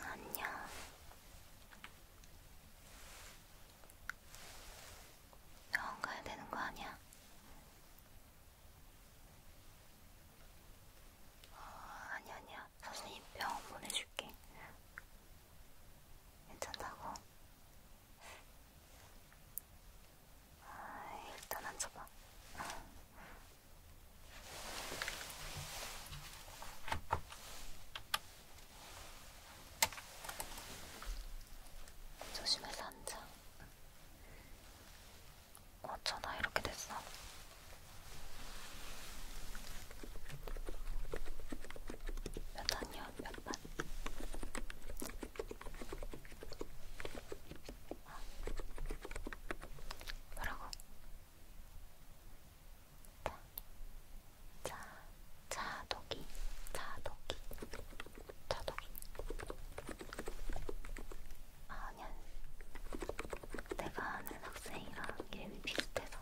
안녕. 병원 가야 되는 거 아니야? 어, 아니야, 아니야. 선생님 병원 보내줄게. 괜찮다고? 아, 일단 앉아봐. 조심해서 앉아. 어쩌나 이렇게 됐어. 몇 학년 몇 반? 아. 뭐라고? 자, 자독이, 자독이, 자독이. 아니야, 내가 아는 학생이랑 이름이 비슷해서.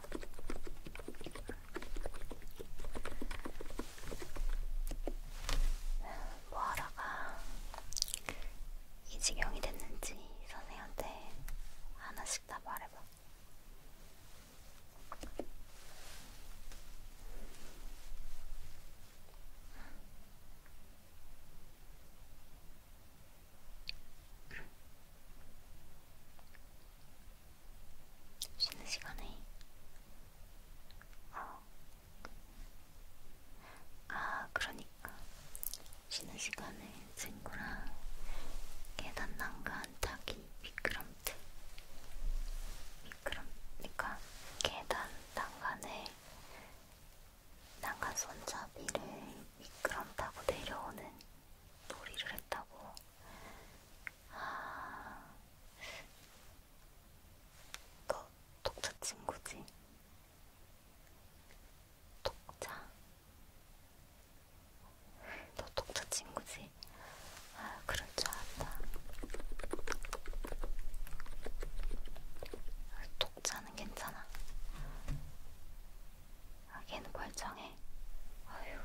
음, 뭐하러가 이 지경이 됐는지 선생한테 하나씩 다 말해봐. 쉬는 시간에 어. 아 그러니까 쉬는 시간에 친구랑 계단 난간 타기 미끄럼틀 미끄럼니까 계단 난간에 난간 손잡이를 미끄럼 타고 내려오는 놀이를 했다고 아... 너 독자 친구지? 독자? 너 독자 친구지? 아, 그럴 줄 알았다. 독자는 괜찮아. 아, 걔는 멀쩡해. 아휴,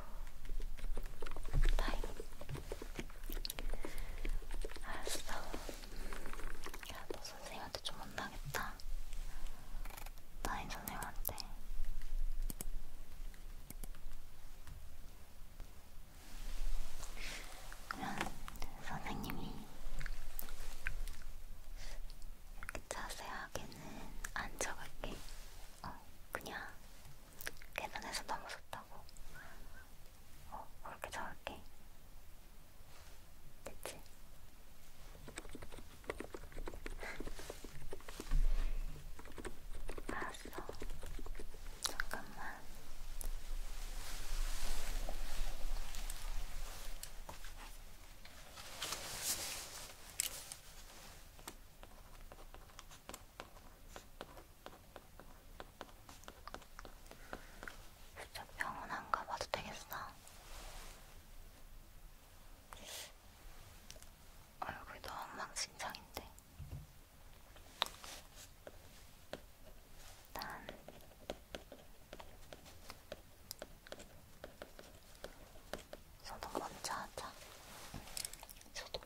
다행. 알았어. 음, 야, 너 선생님한테 좀 혼나겠다. 나인 선생님한테. 그러면 선생님이 이렇게 자세하게는 안 적을게. 어, 그냥 계산해서 넘어섰다고. 어, 그렇게 적을게. 됐지? 알았어. 잠깐만. 진짜 병원 안 가봐도 되겠어. 얼굴이 너무 엉망진창인데 난 소독 먼저 하자 소독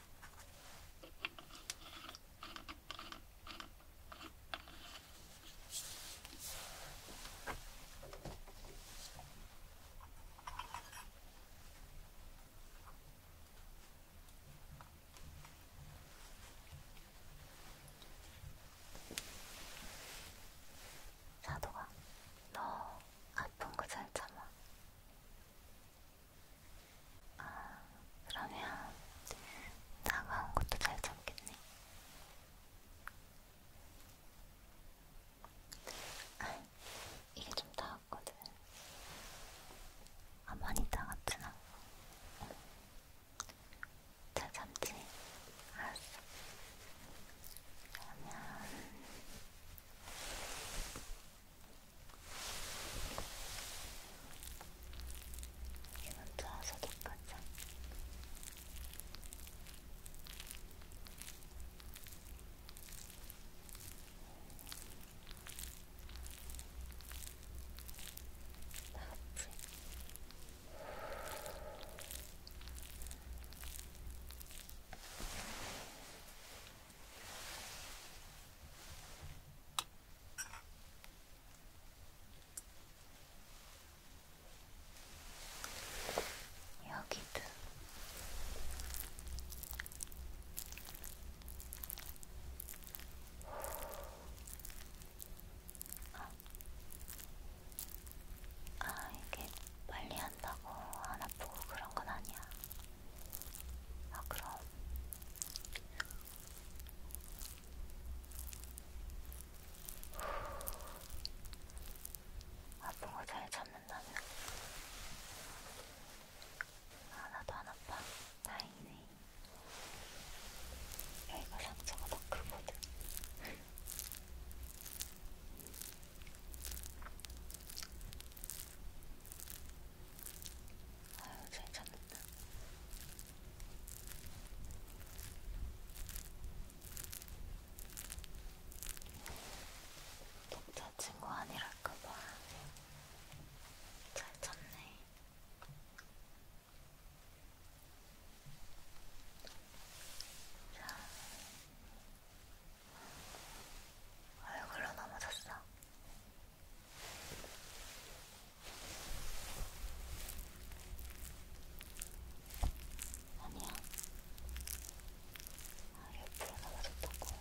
사도가 너 아픈 거잘 참아. 아, 그러면 다가온 것도 잘 잡겠네. 아, 이게 좀 닿았거든. 아, 많이 닿았진 않고. 잘 잡지? 알았어. 그러면 이건 좋아서도 가자. 아프지? 여기도 아, 아 이게 빨리 한다고 안 아프고 그런 건 아니야. 아, 그럼. 아픈 거 잘 참는다면. 아, 나도 안 아파. 다행이네. 여기가 상처가 더 크거든. 아유, 잘 찾는다. 독자친구 아니랄까봐 잘 찾네. 자, 얼굴로 넘어졌어. 아니야. 아, 옆으로 넘어졌다고. 음.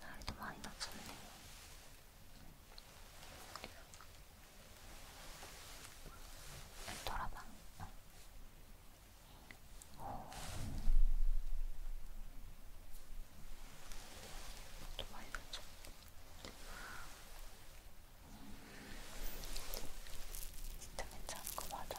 날도 많이 낮췄네. 돌아봐. 어. 또 많이 나죠. 진짜 괜찮은 거 맞아.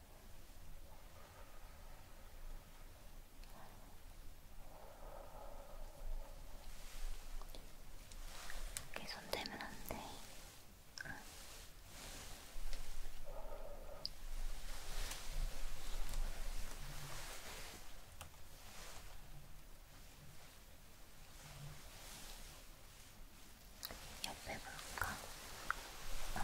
이렇게 손 대면 안 돼. 응. 옆에 볼까? 음,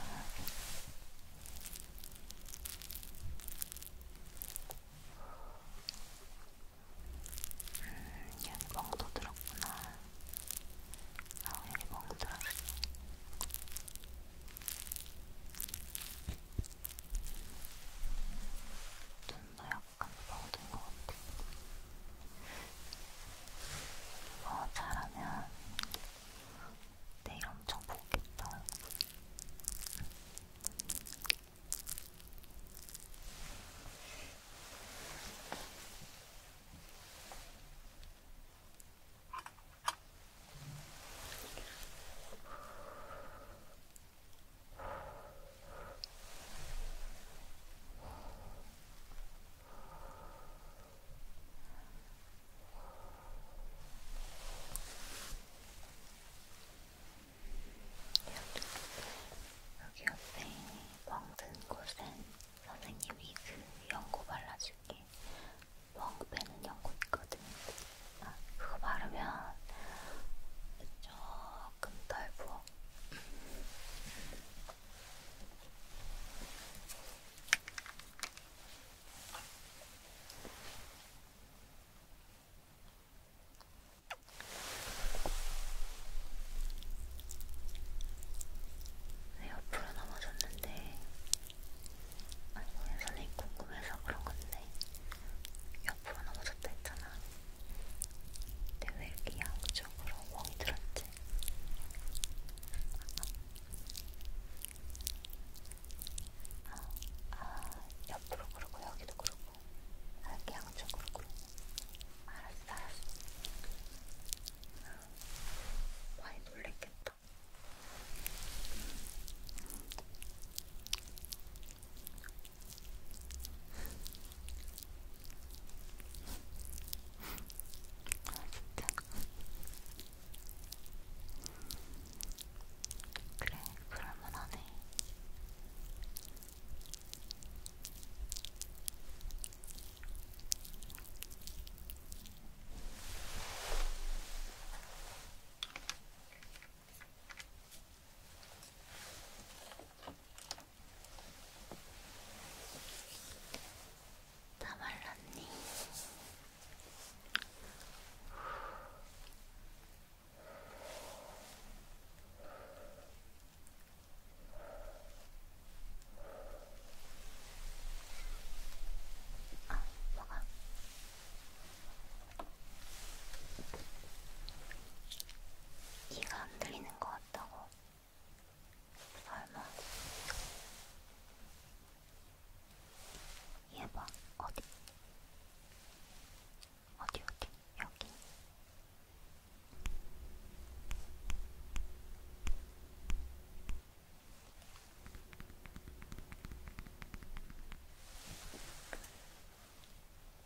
아, 얘는 멍도 들었구나. 아, 얘는 멍 들었어. 눈도 약간 멍든 것 같아. 어, 잘하면 내일 네, 엄청 복겠다 여기 옆에 멍든 곳엔 선생님이 그 연고 발라줄게. 멍 빼는 연고 있거든. 아, 그거 바르면 조금 덜 부어. 네, 옆으로 넘어졌는데, 아니, 선생님 궁금해서 그런 건데, 옆으로 넘어졌다 했잖아. 근데 왜 이렇게 양쪽으로 멍이 들었지? 아, 아, 옆으로 그러고 여기도 그러고 아, 양쪽으로 그러고 알았어, 알았어 아, 많이 놀랬겠다 아 진짜 그래, 그럴만하네. 다 말랐니? 아, 뭐가? 귀가 안 들리는 것 같다고? 설마? 얘봐 어디? 어디 어디? 여기.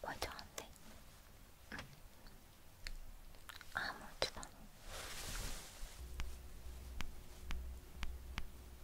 멀쩡한데? 응. 아무렇지도 않아.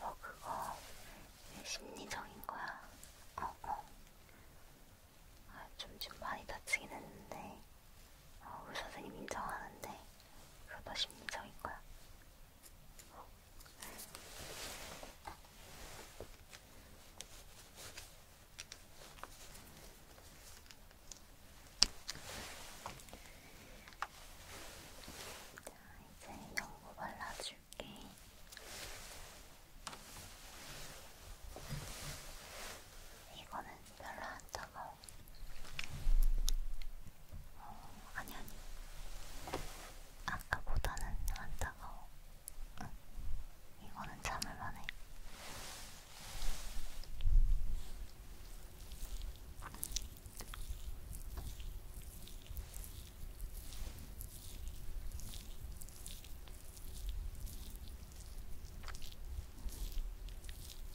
뭐 그거 심리적인 거야. 어, 어. 아, 좀, 좀 많이 다치긴 했는데, 어, 아, 의사 선생님 인정하는데, 그거 다 심리적인 거야. 자, 이제 연고 발라줄게. 이거는 별로 안 차가워. 어, 아니, 아니. 아까보다는 안 따가워. 응. 이거는 참을만해.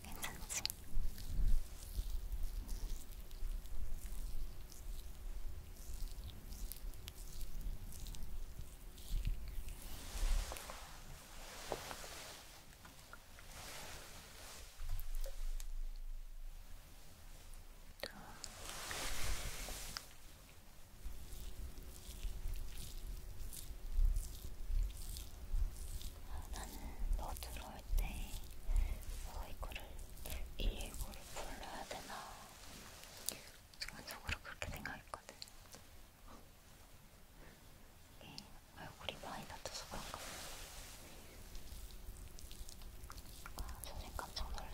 괜찮지? 아, 나는 너 들어올 때, 어, 이거를, 이 일고를 불러야 되나 순간적으로 그렇게 생각했거든. 이게 얼굴이 많이 다쳐서 그런가 봐. 아, 전생 깜짝 놀랐어.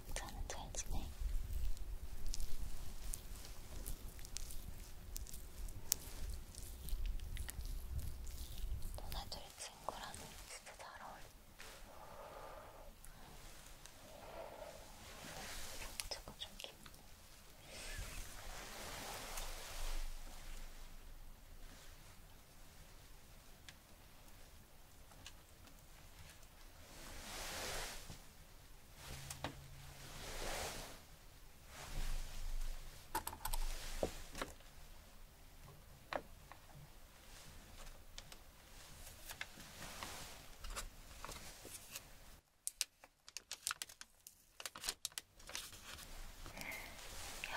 영자는 잘 지내? 너나 둘 친구라면 진짜 잘 어울려. 병자가 좀 깊네.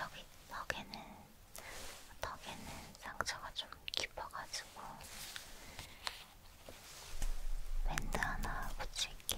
여기 턱에는 턱에는 상처가 좀 깊어가지고 밴드 하나 붙일게.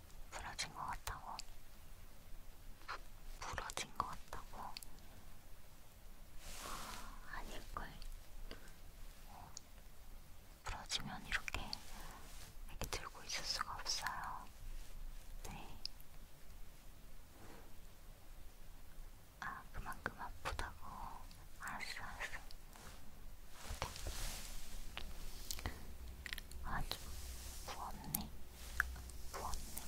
부러진 것 같다고? 부, 부러진 것 같다고? 아, 아닐걸. 어, 부러지면 이렇게 이렇게 들고 있을 수가 없어요. 네. 아, 그만큼 아프다고. 알았어, 알았어. 아주 부었네. 부었네.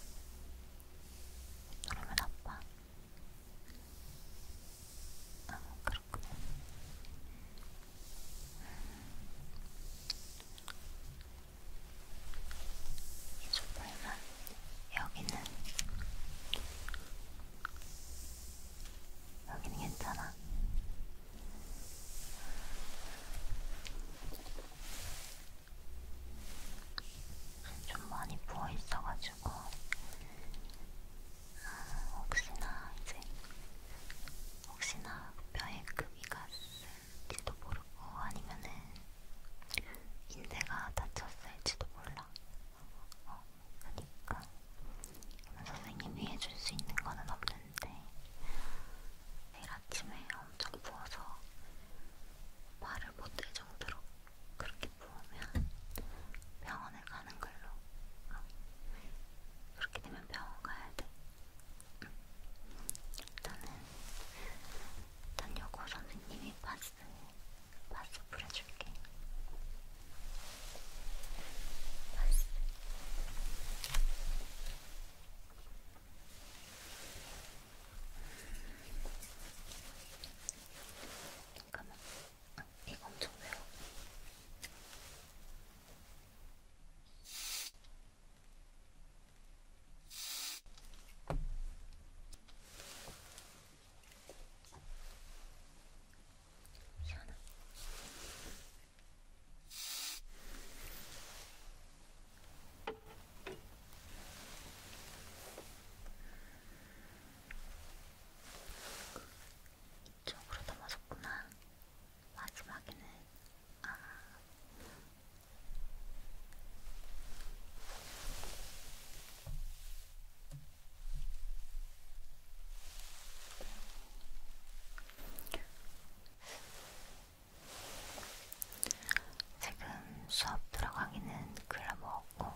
그러면 아빠. 아, 그렇구나. 음. 이쪽 보이면 여기는 여기는 괜찮아. 좀 많이 부어 있어가지고 음, 아, 혹시나 이제 혹시나 뼈에 금이 갔을지도 모르고 아니면은 인대가 다쳤을지도 몰라. 어, 그러니까 선생님이 해줄 수 있는 거는 없는 건데 내일 아침에 엄청 부어서 말을 못할 정도로 그렇게 부으면 병원에 가는 걸로 어. 그렇게 되면 병원 가야 돼 응. 일단은 일단 요거 선생님이 바스 바스 뿌려줄게 바스 잠깐만. 아, 이거 엄청 매워. 시원하. 이쪽으로 넘어졌구나. 마지막에는 아. 지금 수업 들어가기는 글러먹었고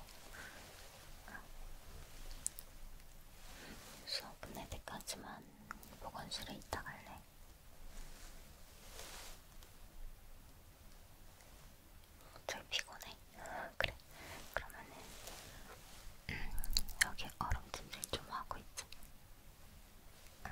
수업 끝날 때까지만 보건실에 있다 갈래. 좀 피곤해. 그래. 그러면은 음, 여기 얼음찜질 좀 하고 있지. 응.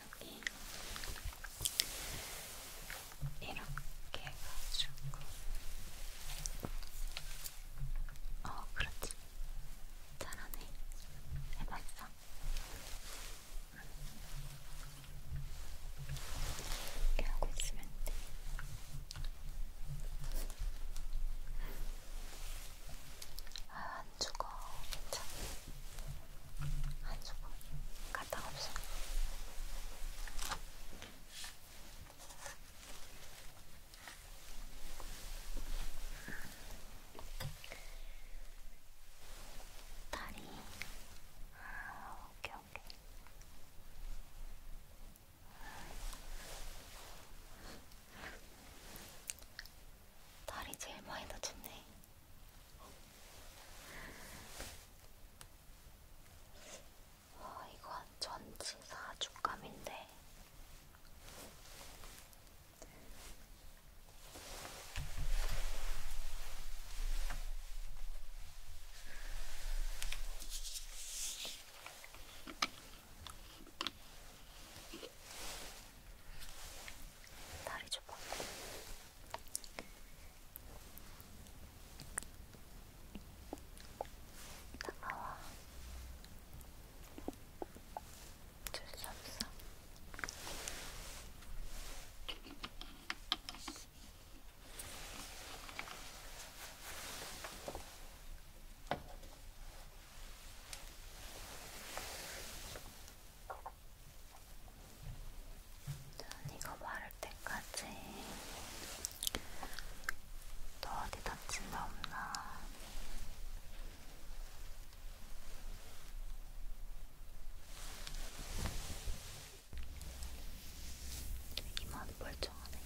여기 이렇게 해가지고 어 그렇지 잘하네 해봤어 이렇게 하고 있으면 돼. 아, 안 죽어. 괜찮아. 안 죽어. 갔다 없어. 다리. 아, 오케이, 이렇게. 다리 제일 많이 다쳤네. 와, 아, 이건 전치 사주감인데. 다리 줘봐. 다가와. 줄수 없어. 전 이거 바를 때까지 또 어디 다친 데 없나? 이만 멀쩡하네.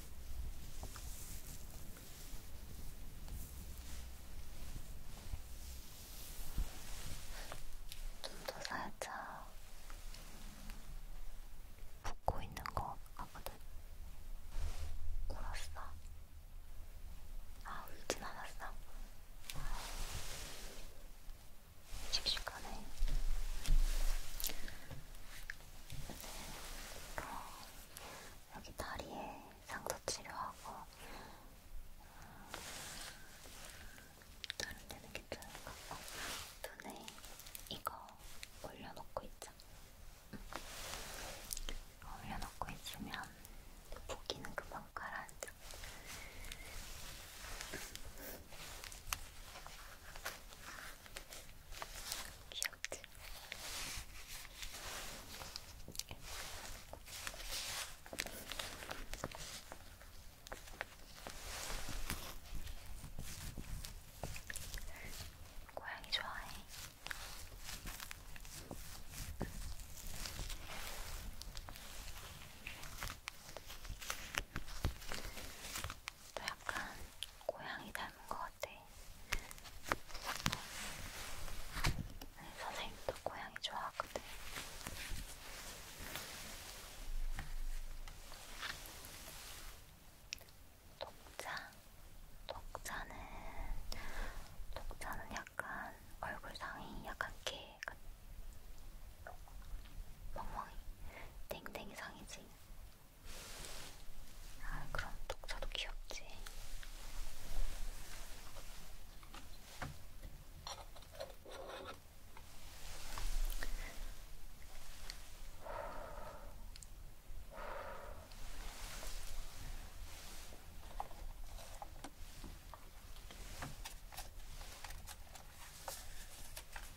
눈도 살짝 붓고 있는 것 같거든. 울었어. 아, 울진 않았어. 식식하네. 네, 어, 여기 다리에 상도 치료하고 음, 다른 데는 괜찮을 것 같고 눈에 이거 올려놓고 있자. 응. 음. 올려놓고 있으면 보기는 금방 가라앉아. 귀엽지? 고양이 좋아해. 너 약간 고양이 닮은 것 같아. 아니, 네, 선생님도 고양이 좋아하거든. 독자, 독자는 독자는 약간 얼굴상이 약간 개, 멍멍이, 땡땡이 상이지. 아, 그럼 독서도 귀엽지. 아,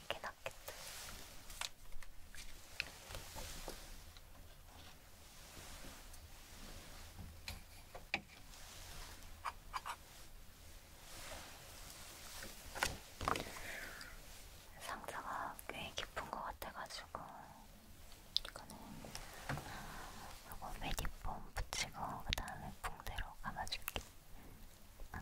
이게 낫겠다. 상자가 꽤 깊은 것 같아가지고 이거는 아, 요거 매디폼 붙이고 그 다음에 붕대로 감아줄게. 아.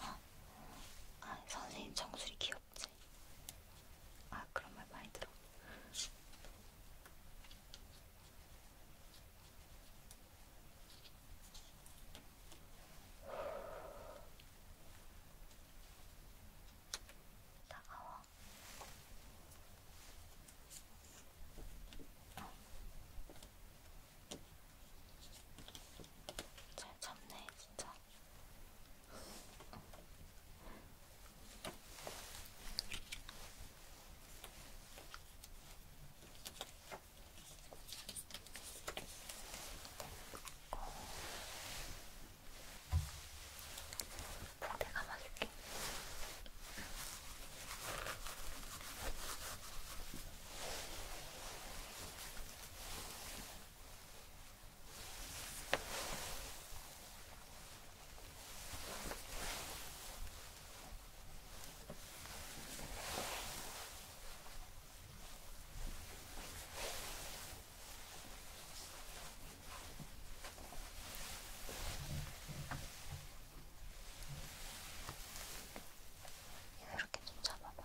아, 아 선생님 정수리 귀엽지? 아 그런 말 많이 들어. 따가워. 어. 잘 참네, 진짜. 내가 막을게. 이렇게 좀 잡아봐.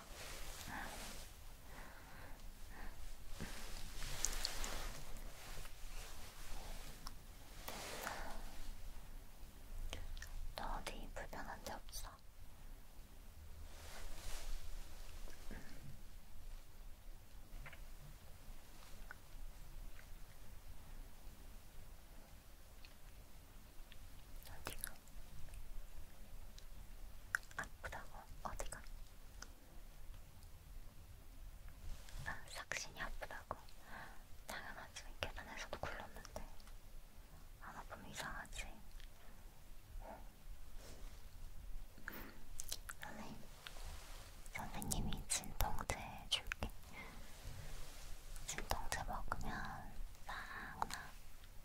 너 어디 불편한 데 없어? 음. 음. 어디가? 아프다고 어디가? 아, 삭신이 아프다고? 당연하지. 계단에서도 굴렀는데. 안 아프면 이상하지. 선생님, 선생님이 진통제 줄게. 진통제 먹으면 싹 나.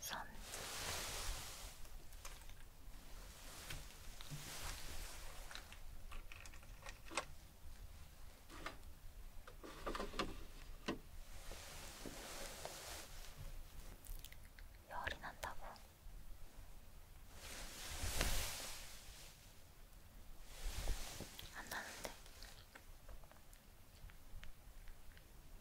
선 열이 난다고. 안 나는데.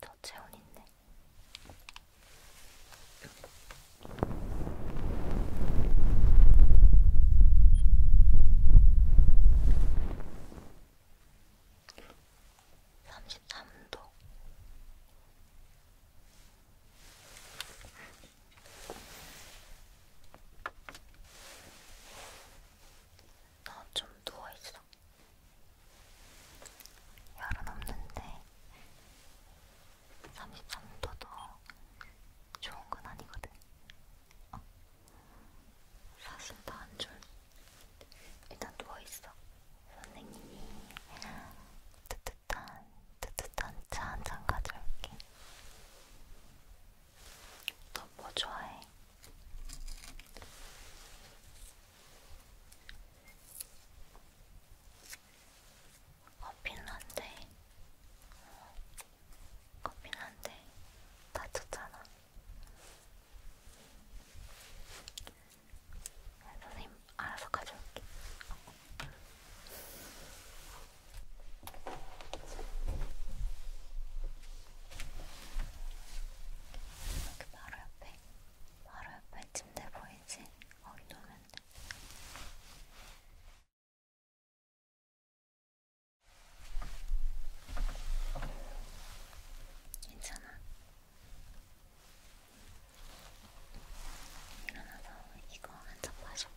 34.2더 체온 있네. 삼십삼도 나좀 누워있어. 열은 없는데 33도도 좋은 건 아니거든. 어. 사실 다안 좋을 일단 누워있어. 선생님이 따뜻한, 따뜻한 차 한 잔 가져올게. 넌뭐 좋아해? 커피는 안 돼. 커피는 안 돼. 다쳤잖아. 아, 선생님, 알아서 가져올게. 여기 그 바로 옆에, 바로 옆에 침대 보이지? 거기 놓으면 돼. 괜찮아. 일어나서 이거 한잔 마셔봐.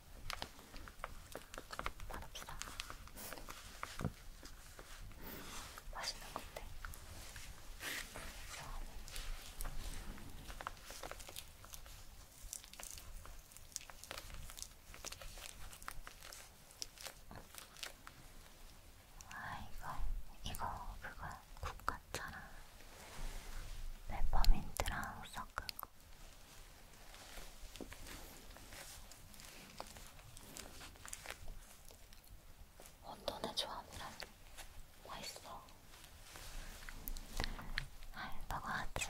맛없어. 맛있는 건데. 좋아하는. 아 이거 이거 그거 국가차랑 페퍼민트랑 섞은 거 혼돈의 조합이라 맛있어. 알바가 아직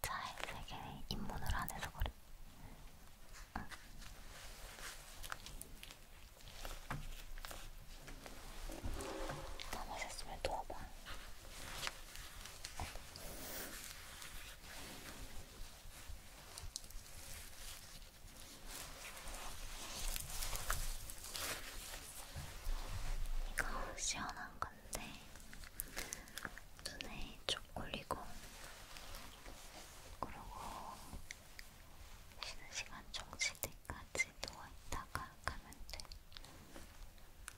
차에 세계 입문을 안 해서 그래. 응. 다 마셨으면 도와봐. 이거 시원한 건데 눈에 쪽올리고 그러고 쉬는 시간 종칠 때까지 누워있다가 가면 돼.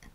응.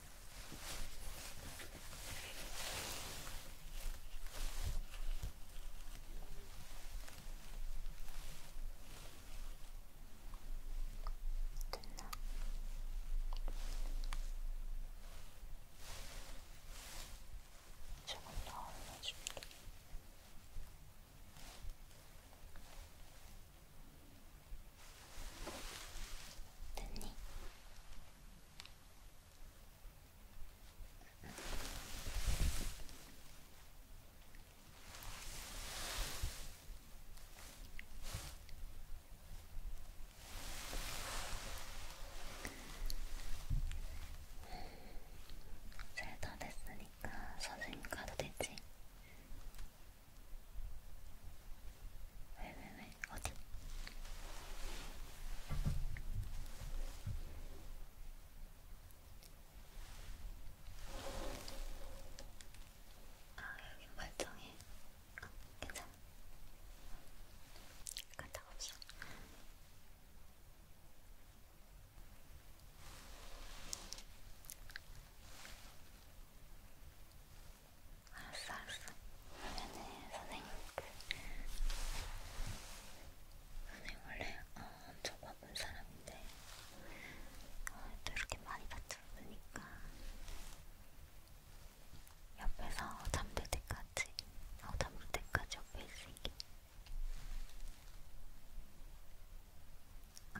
됐나? 조금 더 올려줄게. 됐니? 잘다 됐으니까 선생님 가도 되지? 왜왜왜? 어디? 아 여기 멀쩡해. 어, 괜찮아. 간다 없어. 알았어, 알았어. 그러면은 선생님 그 선생님 원래 어, 엄청 바쁜 사람인데 어, 또 이렇게 많이 다쳐 보니까 옆에서 잠들 때까지, 어, 잠들 때까지 옆에 있을게. 아.